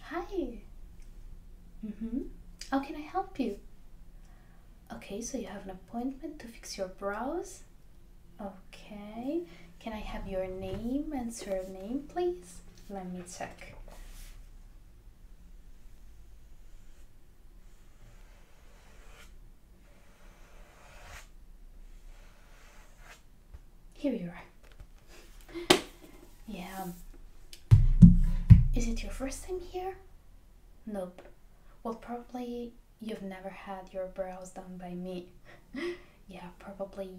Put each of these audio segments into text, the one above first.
Hi. Mm-hmm. How can I help you? Okay, so you have an appointment to fix your brows. Okay. Can I have your name and surname, please? Let me check. Here you are. yeah. Um, is it your first time here? Nope. Well, probably you've never had your brows done by me. yeah, probably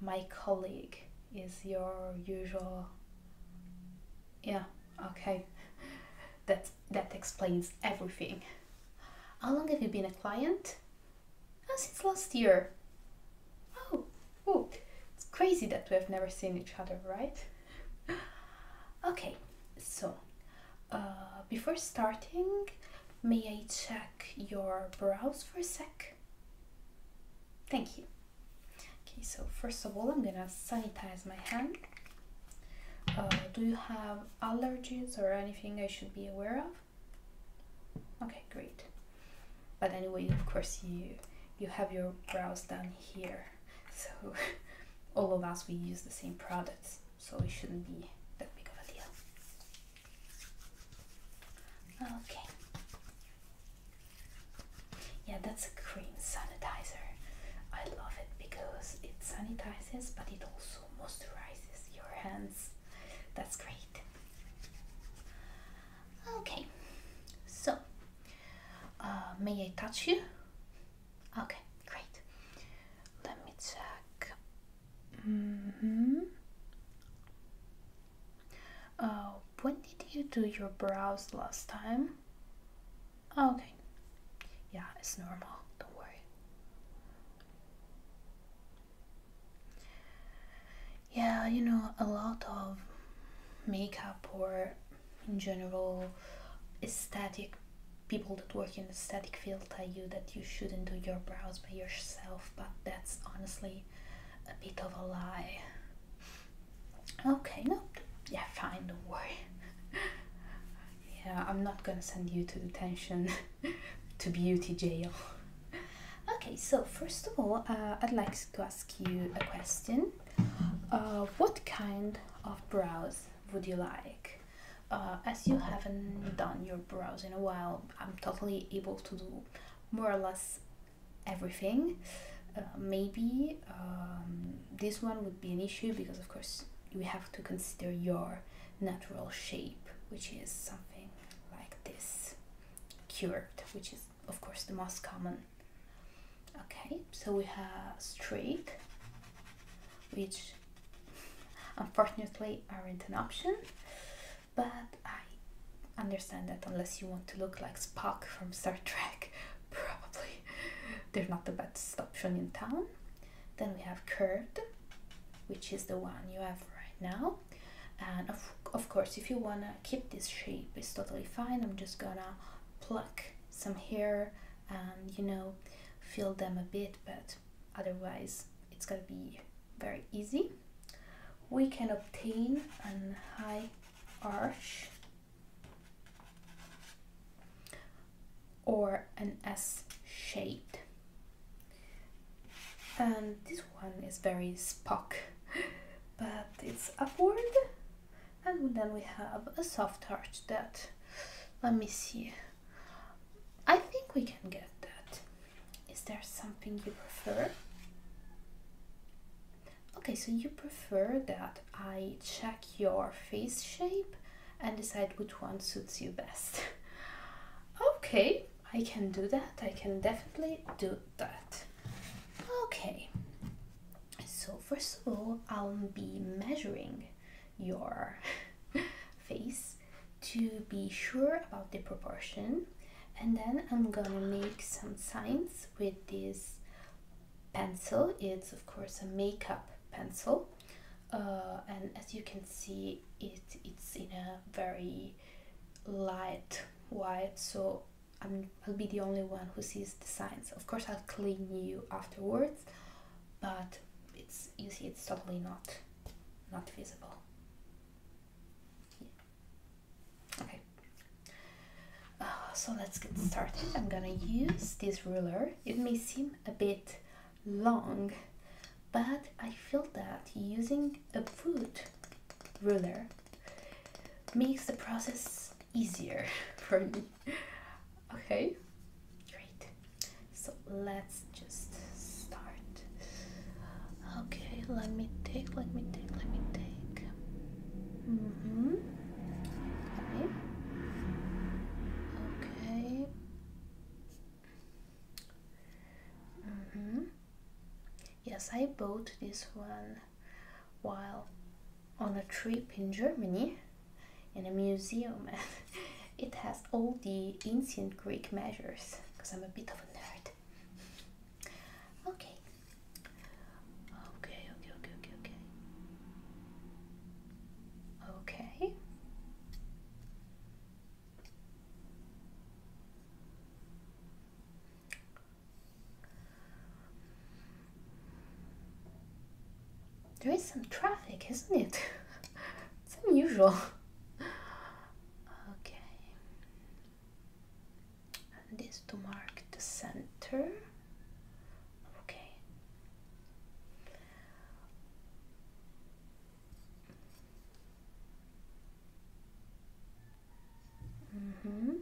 my colleague is your usual. Yeah, Okay, that, that explains everything. How long have you been a client? Ah, since last year. Oh, oh, it's crazy that we have never seen each other, right? Okay, so uh, before starting, may I check your brows for a sec? Thank you. Okay, so first of all, I'm gonna sanitize my hand. Uh, do you have allergies or anything I should be aware of? Okay, great. But anyway, of course, you you have your brows done here, so all of us we use the same products, so it shouldn't be that big of a deal. Okay. Yeah, that's cream sanitizer. I love it because it sanitizes but it also moisturizes your hands. That's great. Okay, so uh, may I touch you? Okay, great. Let me check. Mm -hmm. uh, when did you do your brows last time? Oh, okay. Yeah, it's normal. Don't worry. Yeah, you know, a lot of makeup or in general aesthetic people that work in the aesthetic field tell you that you shouldn't do your brows by yourself, but that's honestly a bit of a lie. Okay, no, yeah, fine, don't worry. yeah, I'm not gonna send you to detention, to beauty jail. Okay, so first of all, uh, I'd like to ask you a question. Uh, what kind of brows would you like? Uh, as you haven't done your brows in a while, I'm totally able to do more or less everything. maybe um, this one would be an issue because of course we have to consider your natural shape which is something like this curved which is of course the most common okay so we have straight which unfortunately aren't an option but I understand that unless you want to look like Spock from Star Trek probably they're not the best option in town. Then we have curved, which is the one you have right now. And of, of course, if you wanna keep this shape, it's totally fine. I'm just gonna pluck some hair and you know, fill them a bit, but otherwise it's gonna be very easy. We can obtain an high arch or an S shape, And this one is very Spock, but it's upward. And then we have a soft heart that, let me see, I think we can get that. Is there something you prefer? Okay, so you prefer that I check your face shape and decide which one suits you best. okay, I can do that. I can definitely do that. Okay, so first of all, I'll be measuring your face to be sure about the proportion and then I'm gonna make some signs with this pencil. It's of course a makeup pencil. Uh, and as you can see, it, it's in a very light white, so i will be the only one who sees the signs. Of course, I'll clean you afterwards, but it's you see, it's totally not not visible. Okay, uh, so let's get started. I'm gonna use this ruler. It may seem a bit long, but I feel that using a foot ruler makes the process easier for me. Okay, great. So let's just start. Okay, let me take, let me take, let me take. Mm -hmm. Okay. Okay. Mm -hmm. Yes, I bought this one while on a trip in Germany in a museum. it has all the ancient Greek measures because I'm a bit of a nerd okay. Okay, okay, okay, okay, okay. There is some traffic, isn't it? it's unusual. Okay and this to mark the center okay mm -hmm.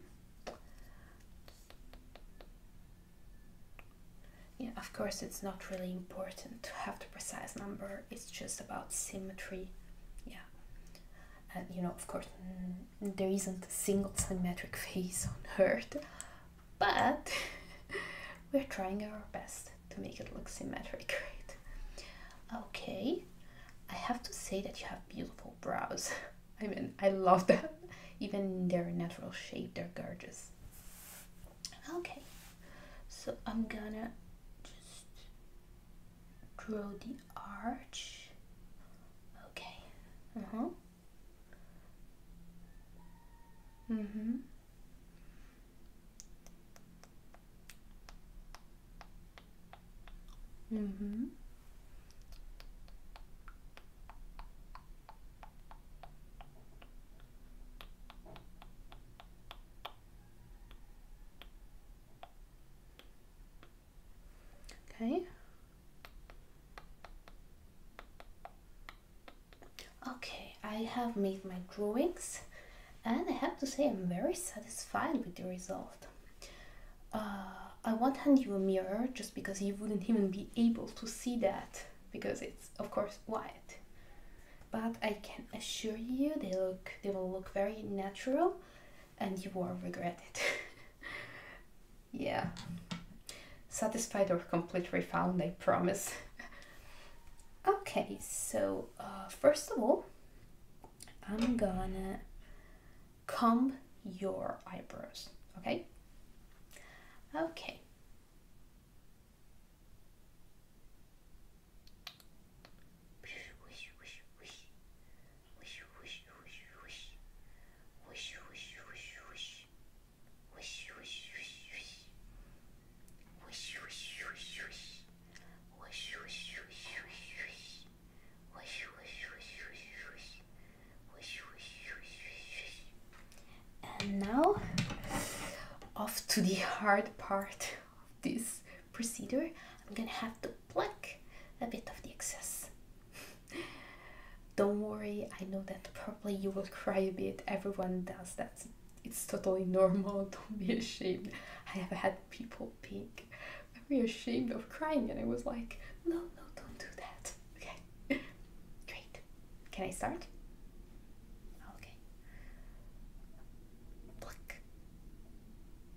yeah of course it's not really important to have the precise number it's just about symmetry yeah and you know of course there isn't a single symmetric face on Earth, but we're trying our best to make it look symmetric, right? Okay, I have to say that you have beautiful brows. I mean, I love them. Even their natural shape, they're gorgeous. Okay, so I'm gonna just draw the arch. Okay. Uh huh. Mm hmm. Mm hmm. Okay. Okay, I have made my drawings and I have to say I'm very satisfied with the result. Uh, I won't hand you a mirror just because you wouldn't even be able to see that because it's of course white. But I can assure you they look they will look very natural and you will regret it. yeah. Satisfied or complete refund, I promise. okay, so uh, first of all, I'm gonna comb your eyebrows, okay? Okay. Wish, wish, wish, wish. Wish, wish, wish, wish. Wish, wish, wish, wish. Wish, wish, wish, wish. Wish, wish, wish, wish, wish. Wish, wish, wish, wish, wish. Wish, wish, wish, wish, wish. And now, off to the hard part of this procedure, I'm gonna have to pluck a bit of the excess. Don't worry, I know that probably you will cry a bit, everyone does that. It's totally normal, don't be ashamed. I have had people being very ashamed of crying, and I was like, no, no, don't do that. Okay, great. Can I start? Okay. Pluck,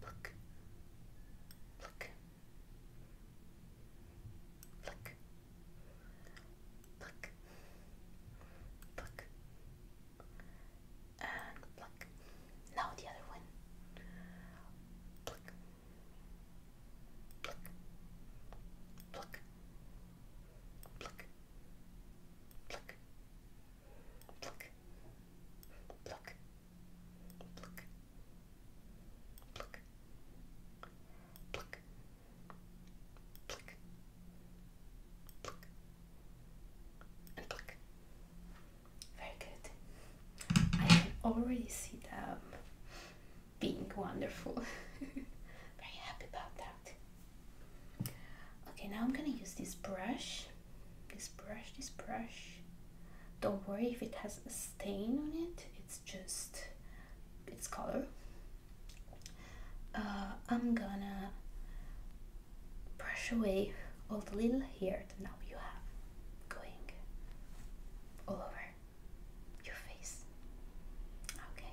Look. Look. Look. Look. Look. And pluck. Now the other one. Pluck. Pluck. Pluck. Pluck. Pluck. Pluck pluck, pluck, pluck, pluck, pluck, pluck, pluck, and pluck. Very good. I can already see them being wonderful. Very happy about that. Okay, now I'm gonna use this brush this brush, this brush. Don't worry if it has a stain on it, it's just its color. Uh, I'm gonna brush away all the little hair that now you have going all over your face. Okay.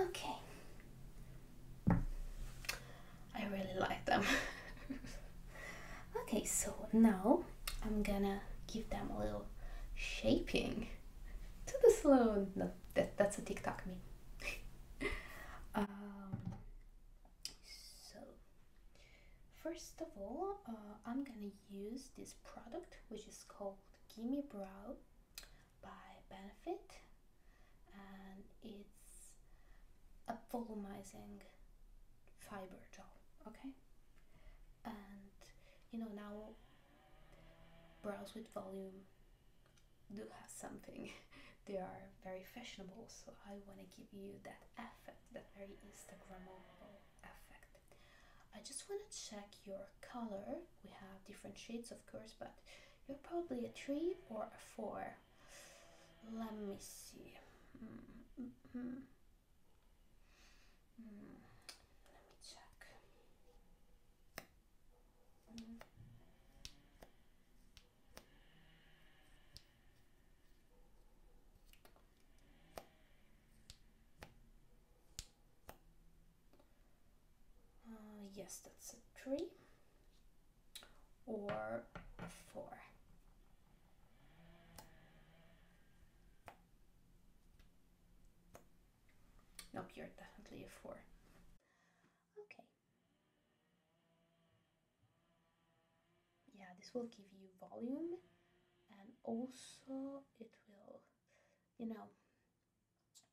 Okay. I really like them. okay, so now I'm gonna give them a little shaping to the slow. No, that, that's a TikTok me. So, first of all, uh, I'm gonna use this product which is called Gimme Brow by Benefit, and it's a volumizing fiber gel. Okay, and you know now brows with volume do have something. they are very fashionable, so I want to give you that effect, that very Instagramable effect. I just want to check your color. We have different shades, of course, but you're probably a three or a four. Let me see. Mm, mm, mm, let me check. Uh, yes, that's a three or a four. Nope, you're definitely a four. Okay yeah this will give you volume and also it will you know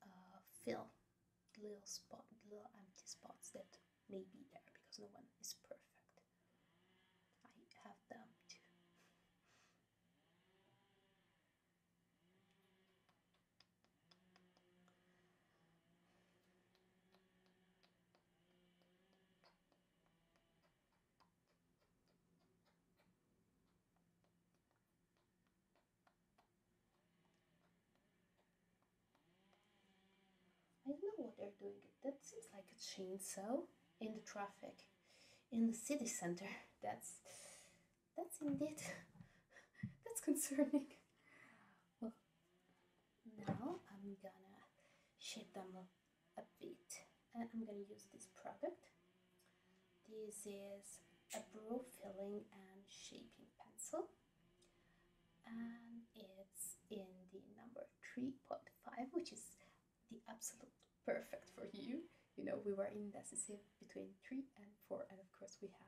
uh, fill little spot little empty spots that may be there because no one is perfect I have them too I don't know what they're doing. That seems like a chainsaw in the traffic in the city center. That's that's indeed that's concerning. Well, now I'm gonna shape them up a bit, and I'm gonna use this product. This is a brow filling and shaping pencil, and it's in the number 3.5, which is the absolute perfect for you. You know, we were indecisive between 3 and 4, and of course we have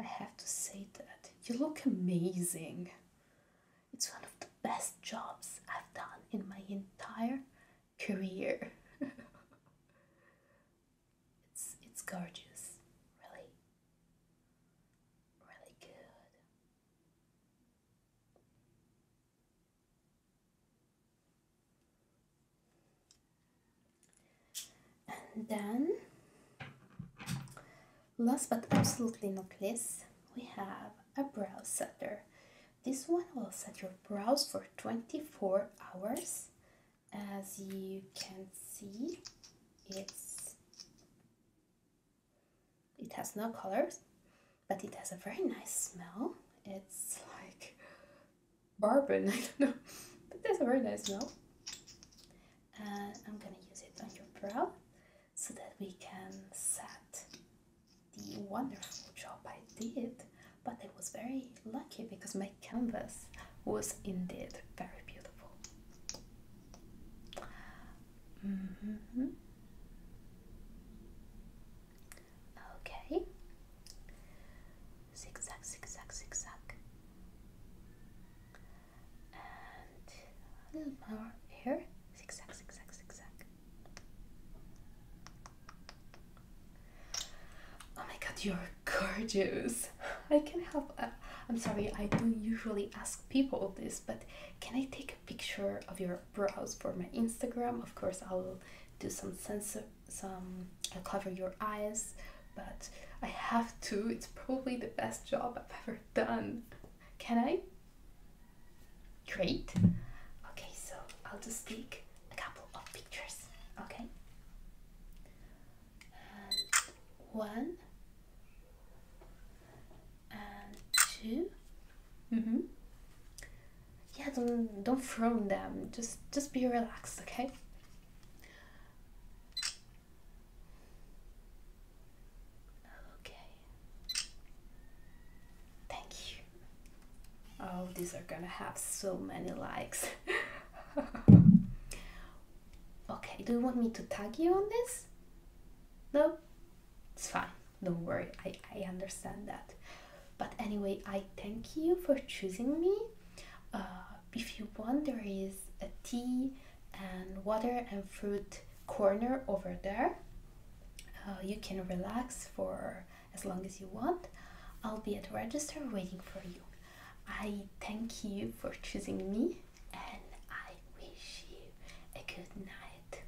I have to say that. You look amazing. It's one of the best jobs I've done in my entire career. it's it's gorgeous. Really. Really good and then last but absolutely not least we have a brow setter this one will set your brows for 24 hours as you can see it's it has no colors but it has a very nice smell it's like bourbon i don't know but it's a very nice smell and I'm gonna use it on your brow so that we can set the wonderful job I did but I was very lucky because my canvas was indeed very beautiful mm-hmm. okay zigzag zigzag zigzag and here. Oh my god, you're gorgeous! I can have i uh, I'm sorry, I don't usually ask people this, but can I take a picture of your brows for my Instagram? Of course, I'll do some censor, some. cover your eyes but I have to. It's probably the best job I've ever done. Can I? Great. Okay, so I'll just take a couple of pictures. Okay. one and two. Mm-hmm. Yeah, don't don't frown them. Just just be relaxed, okay? Okay. Thank you. Oh, these are gonna have so many likes. okay, do you want me to tag you on this? No? It's fine. Don't worry, I, I understand that. But anyway, I thank you for choosing me uh, if you want, there is a tea and water and fruit corner over there. Uh, you can relax for as long as you want. I'll be at the register waiting for you. I thank you for choosing me and I wish you a good night.